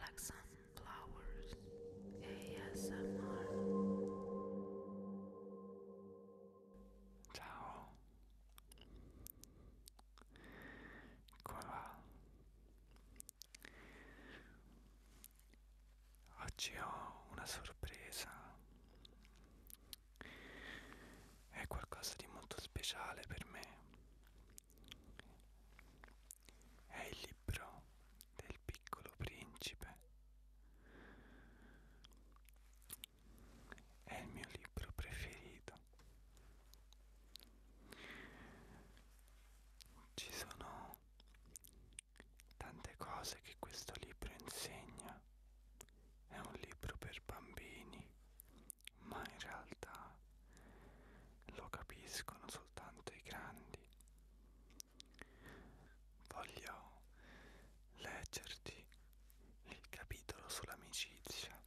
Like Sunflowers ASMR Ciao Come va? Oggi ho una sorpresa è qualcosa di molto speciale per me è il libro del piccolo principe. È il mio libro preferito. Ci sono tante cose che questo libro insegna. È un libro per bambini, ma in realtà lo capiscono soltanto i grandi. Voglio leggerti il capitolo sull'amicizia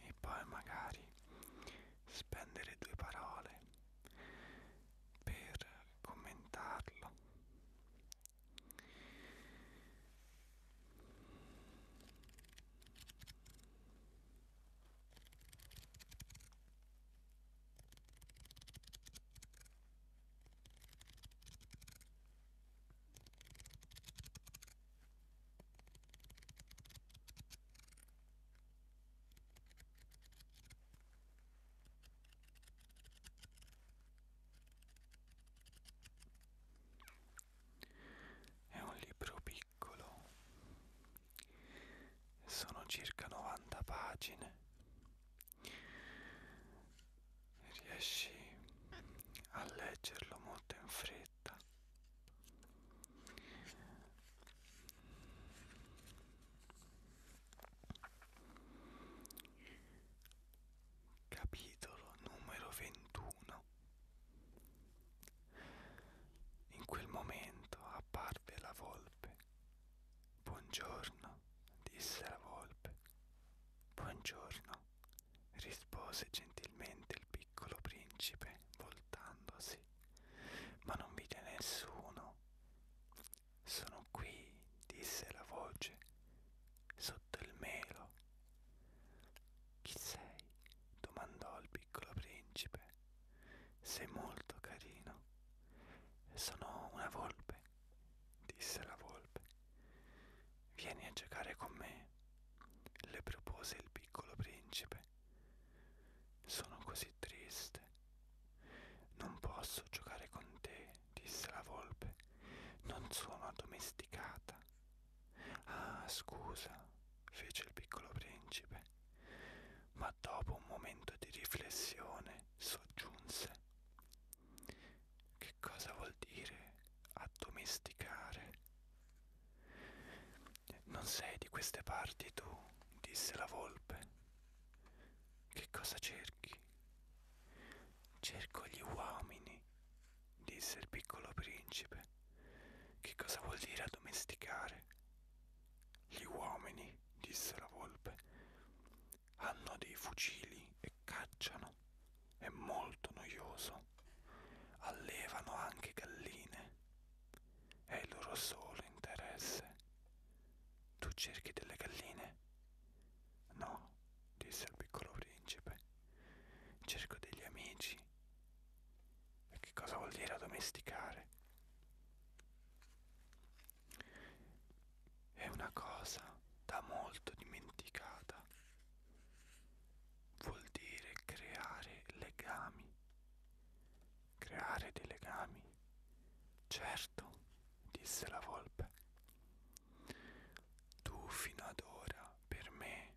e poi magari spendere due parole per commentarlo. È un libro piccolo piccolo sono circa 90 pagine riesci a leggerlo molto in fretta capitolo numero 21 in quel momento apparve la volpe. Buongiorno, disse la volpe. Buongiorno, rispose gentilmente il piccolo principe, voltandosi. Ma non vide nessuno. Sono qui, disse la voce, sotto il melo. Chi sei? domandò il piccolo principe, sei molto carino. Sono una volpe, disse la volpe. Vieni a giocare con me, le propose il piccolo principe. Sono così triste. Non posso giocare con te, disse la volpe. Non sono addomesticata. Ah, scusa, fece il piccolo principe, ma dopo un momento di riflessione soggiunse. Che cosa vuol dire addomesticare? Non sei di queste parti tu, disse la volpe. Che cosa cerchi? Cerco gli uomini, disse il piccolo principe. Che cosa vuol dire addomesticare? Gli uomini, disse la volpe, hanno dei fucili e cacciano. È molto noioso. Allevano anche galline. È il loro solo interesse. Tu cerchi delle galline? No, disse il piccolo principe. Cerco degli amici e che cosa vuol dire addomesticare? È una cosa da molto dimenticata. Vuol dire creare legami. Creare dei legami. Certo, disse la volpe. Tu fino ad ora per me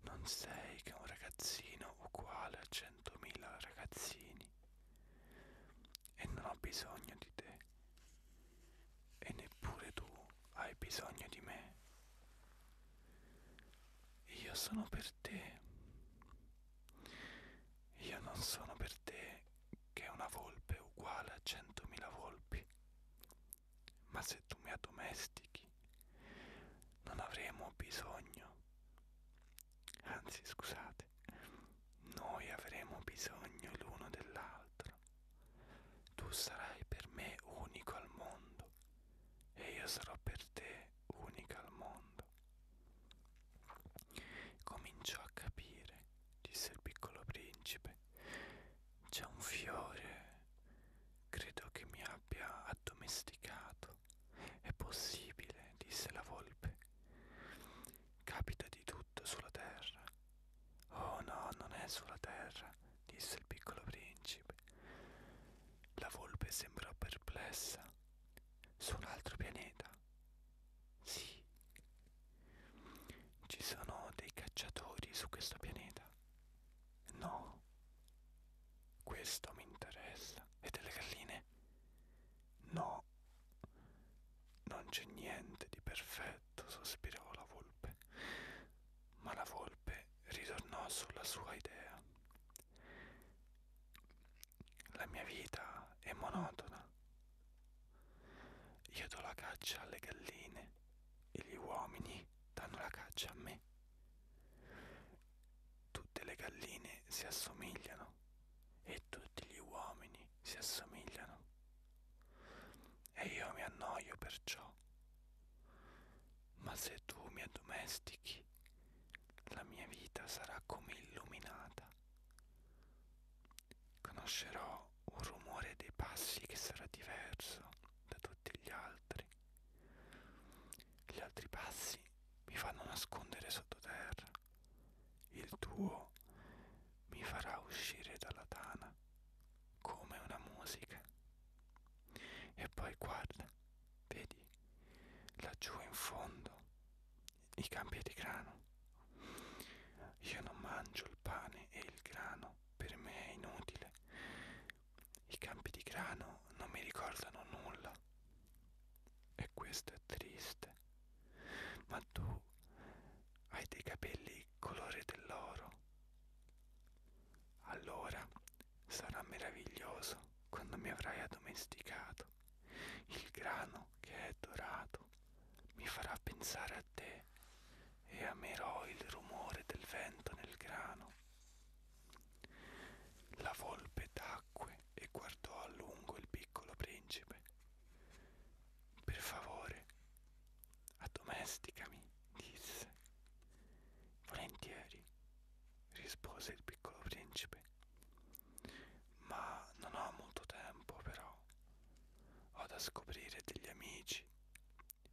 non sei che un ragazzino uguale a 100.000 ragazzini e non ho bisogno di te e neppure tu hai bisogno di me. Io sono per te. Io non sono per te che una volpe uguale a 100.000 volpi. Ma se tu mi addomestichi occhi. Non avremo bisogno, anzi scusate, noi avremo bisogno l'uno dell'altro. Tu sarai per me unico al mondo e io sarò per te unica al mondo. Cominciò a capire, disse il piccolo principe, c'è un fiore, credo che mi abbia abbia addomesticato. È possibile, disse la volpe. Capita di tutto sulla terra. Oh no, non è sulla terra, disse il piccolo principe. La volpe sembrò perplessa. Su un altro pianeta? Sì. Ci sono dei cacciatori su questo pianeta. No, questo mi interessa. E delle galline? No, non c'è niente di perfetto, sospirò la volpe. Ma la volpe ritornò sulla sua idea. La mia vita è monotona. Io do la caccia alle galline e gli uomini danno la caccia a me tutte le galline si assomigliano e tutti gli uomini si assomigliano. E io mi annoio perciò. Ma se tu mi addomestichi, la mia vita sarà come illuminata. Conoscerò un rumore dei passi che sarà diverso da tutti gli altri gli altri passi mi fanno nascondere sottoterra. Il tuo mi farà uscire dalla tana come una musica. E poi guarda, vedi, laggiù in fondo i campi di grano. Io non mangio il pane e il grano, per me è inutile. I campi di grano non mi ricordano nulla. E questo è triste. Ma tu hai dei capelli colore dell'oro. Allora sarà meraviglioso quando mi avrai addomesticato. Il grano che è dorato mi farà pensare a te e amerò il rumore del vento nel grano. La volpe tacque e guardò a lungo il piccolo principe. Per favore, addomesticami, disse. Volentieri, rispose il piccolo principe. Ma non ho molto tempo, però. Ho da scoprire degli amici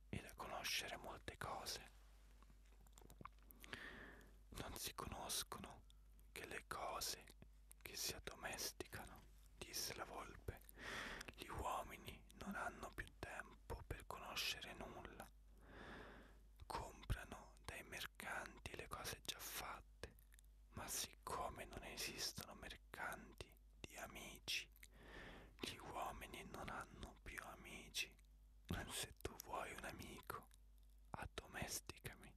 e da conoscere molte cose. Non si conoscono che le cose che si addomesticano, disse la volpe. Gli uomini non hanno più tempo per conoscere nulla. Comprano dai mercanti le cose già fatte, ma siccome non esistono mercanti di amici, gli uomini non hanno più amici se tu vuoi un amico, addomesticami.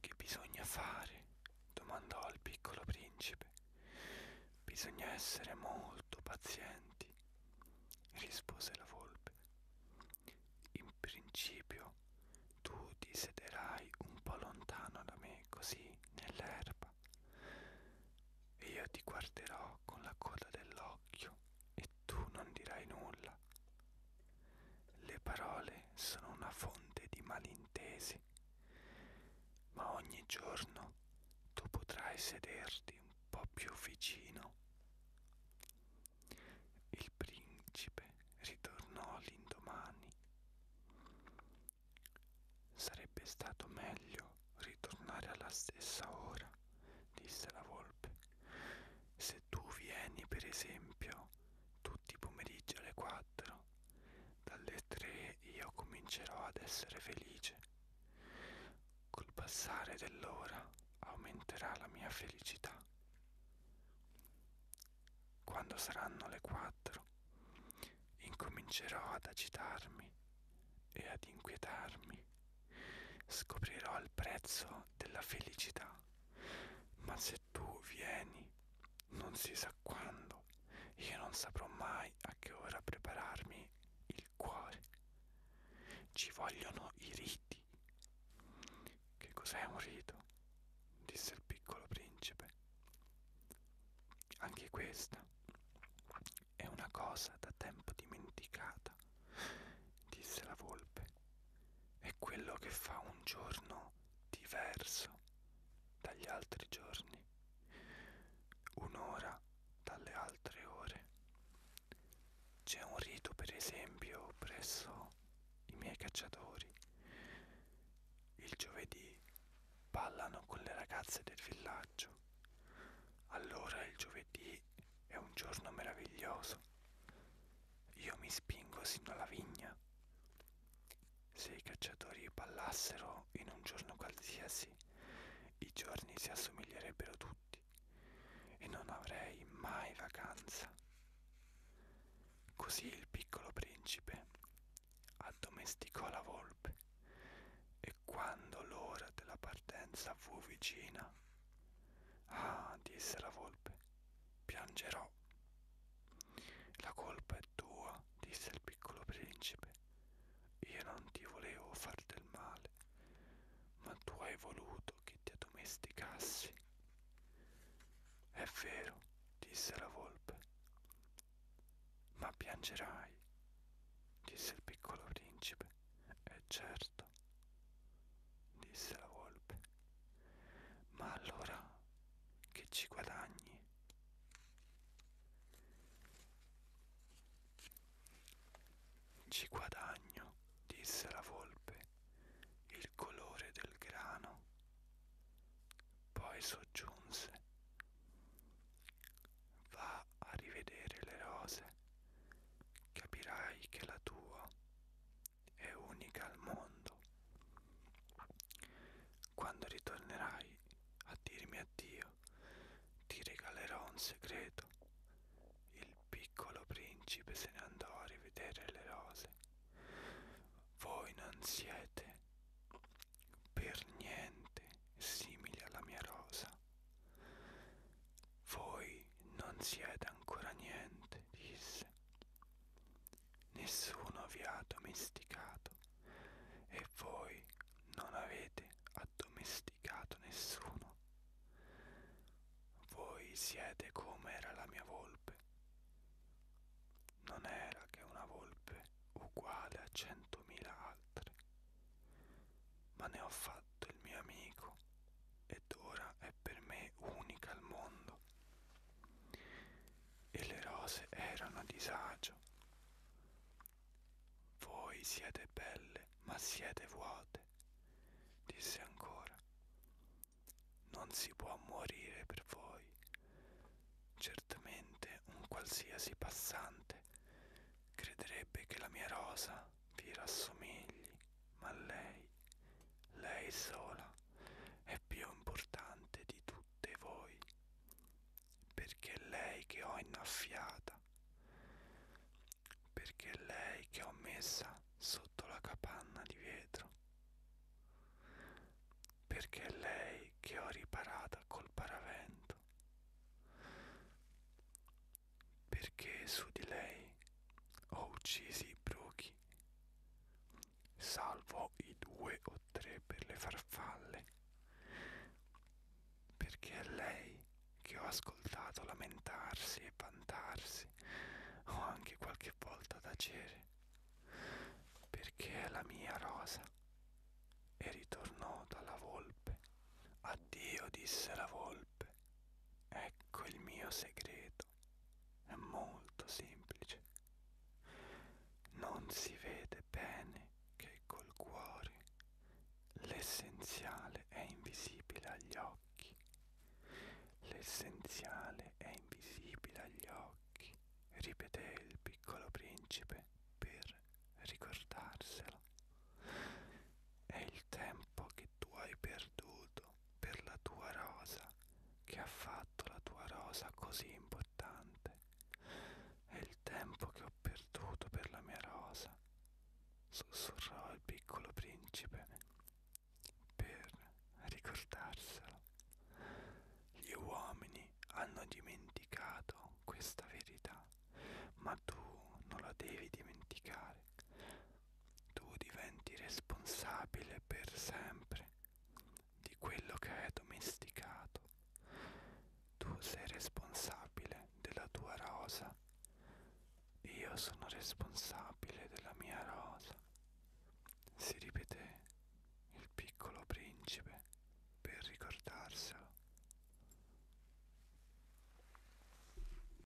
Che bisogna fare? domandò al piccolo principe. Bisogna essere molto pazienti, rispose la volpe. In principio tu ti sederai un po' lontano da me, così nell'erba, e io ti guarderò con la coda dell'occhio e tu non dirai nulla. Le parole sono una fonte di malintesi, ma ogni giorno tu potrai sederti un po' più vicino. Il principe ritornò l'indomani. Sarebbe stato meglio ritornare alla stessa ora disse la volpe. Se tu vieni, per esempio, tutti i pomeriggi alle quattro, dalle tre io comincerò ad essere felice. Col passare dell'ora aumenterà la mia felicità. Quando saranno le quattro, incomincerò ad agitarmi e ad inquietarmi scoprirò il prezzo della felicità. Ma se tu vieni, non si sa quando, io non saprò mai a che ora prepararmi il cuore. Ci vogliono i riti. Che cos'è un rito? disse il piccolo principe. Anche questa è una cosa da tempo dimenticata volta, disse la volpe, è quello che fa un giorno diverso dagli altri giorni, un'ora dalle altre ore. C'è un rito, per esempio, presso i miei cacciatori. Il giovedì ballano con le ragazze del villaggio. Allora il giovedì giovedì è un giorno meraviglioso. Io mi spingo sino alla vigna. Se i cacciatori ballassero in un giorno qualsiasi, i giorni si assomiglierebbero tutti e non avrei mai vacanza. Così il piccolo principe addomesticò la volpe e quando l'ora della partenza fu vicina, Ah, disse la volpe, piangerò. La colpa è tua, disse il piccolo principe. Io non ti volevo far del male, ma tu hai voluto che ti addomesticassi. È vero, disse la volpe. Ma piangerai, disse il piccolo principe. È certo certo, disse la volpe. Ma allora che ci guadagni? Ci guadagno, disse la volpe, il colore del grano. Poi soggiunse, va a rivedere le rose capirai che la tua è unica al mondo. Quando ritornerai a dirmi addio, ti regalerò un segreto. Il piccolo principe se ne andò a rivedere le rose. Voi non siete per niente simili alla mia rosa. Voi non siete ancora niente, disse. Nessuno vi ha domesticato e voi non avete addomesticato nessuno. Voi siete come era la mia volpe. Non era che una volpe uguale a centomila altre ma ne ho fatto il mio amico ed ora è per me unica al mondo. E le rose erano a disagio. Voi siete belle, ma siete vuote, disse ancora. Non si può morire per voi. Certamente un qualsiasi passante crederebbe che la mia rosa ti rassomigli, ma lei, lei sola, è più importante di tutte voi, perché è lei che ho innaffiata, perché è lei che ho messa sotto la capanna di vetro, perché è lei che ho riparata col paravento perché su di lei ho uccisi i bruchi, salvo i due o tre per le farfalle, perché è lei che ho ascoltato lamentarsi e vantarsi, o anche qualche volta tacere, perché è la mia rosa. E ritornò dalla volpe. Addio, disse la volpe dove. Ecco il mio segreto. È molto semplice. Non si vede bene che col cuore. L'essenziale è invisibile agli occhi. L'essenziale è invisibile agli occhi, ripeté il piccolo principe per ricordarselo. È il tempo che tu hai perduto per la tua rosa, che ha fatto la tua rosa così importante. È il tempo che ho perduto per la mia rosa, sussurrò il piccolo principe per ricordarselo. Gli uomini hanno dimenticato questa verità, ma tu non la devi dimenticare tu diventi responsabile per sempre di quello che hai domesticato. Tu sei responsabile della tua rosa, io sono responsabile della mia rosa. Si ripeté il piccolo principe per ricordarselo.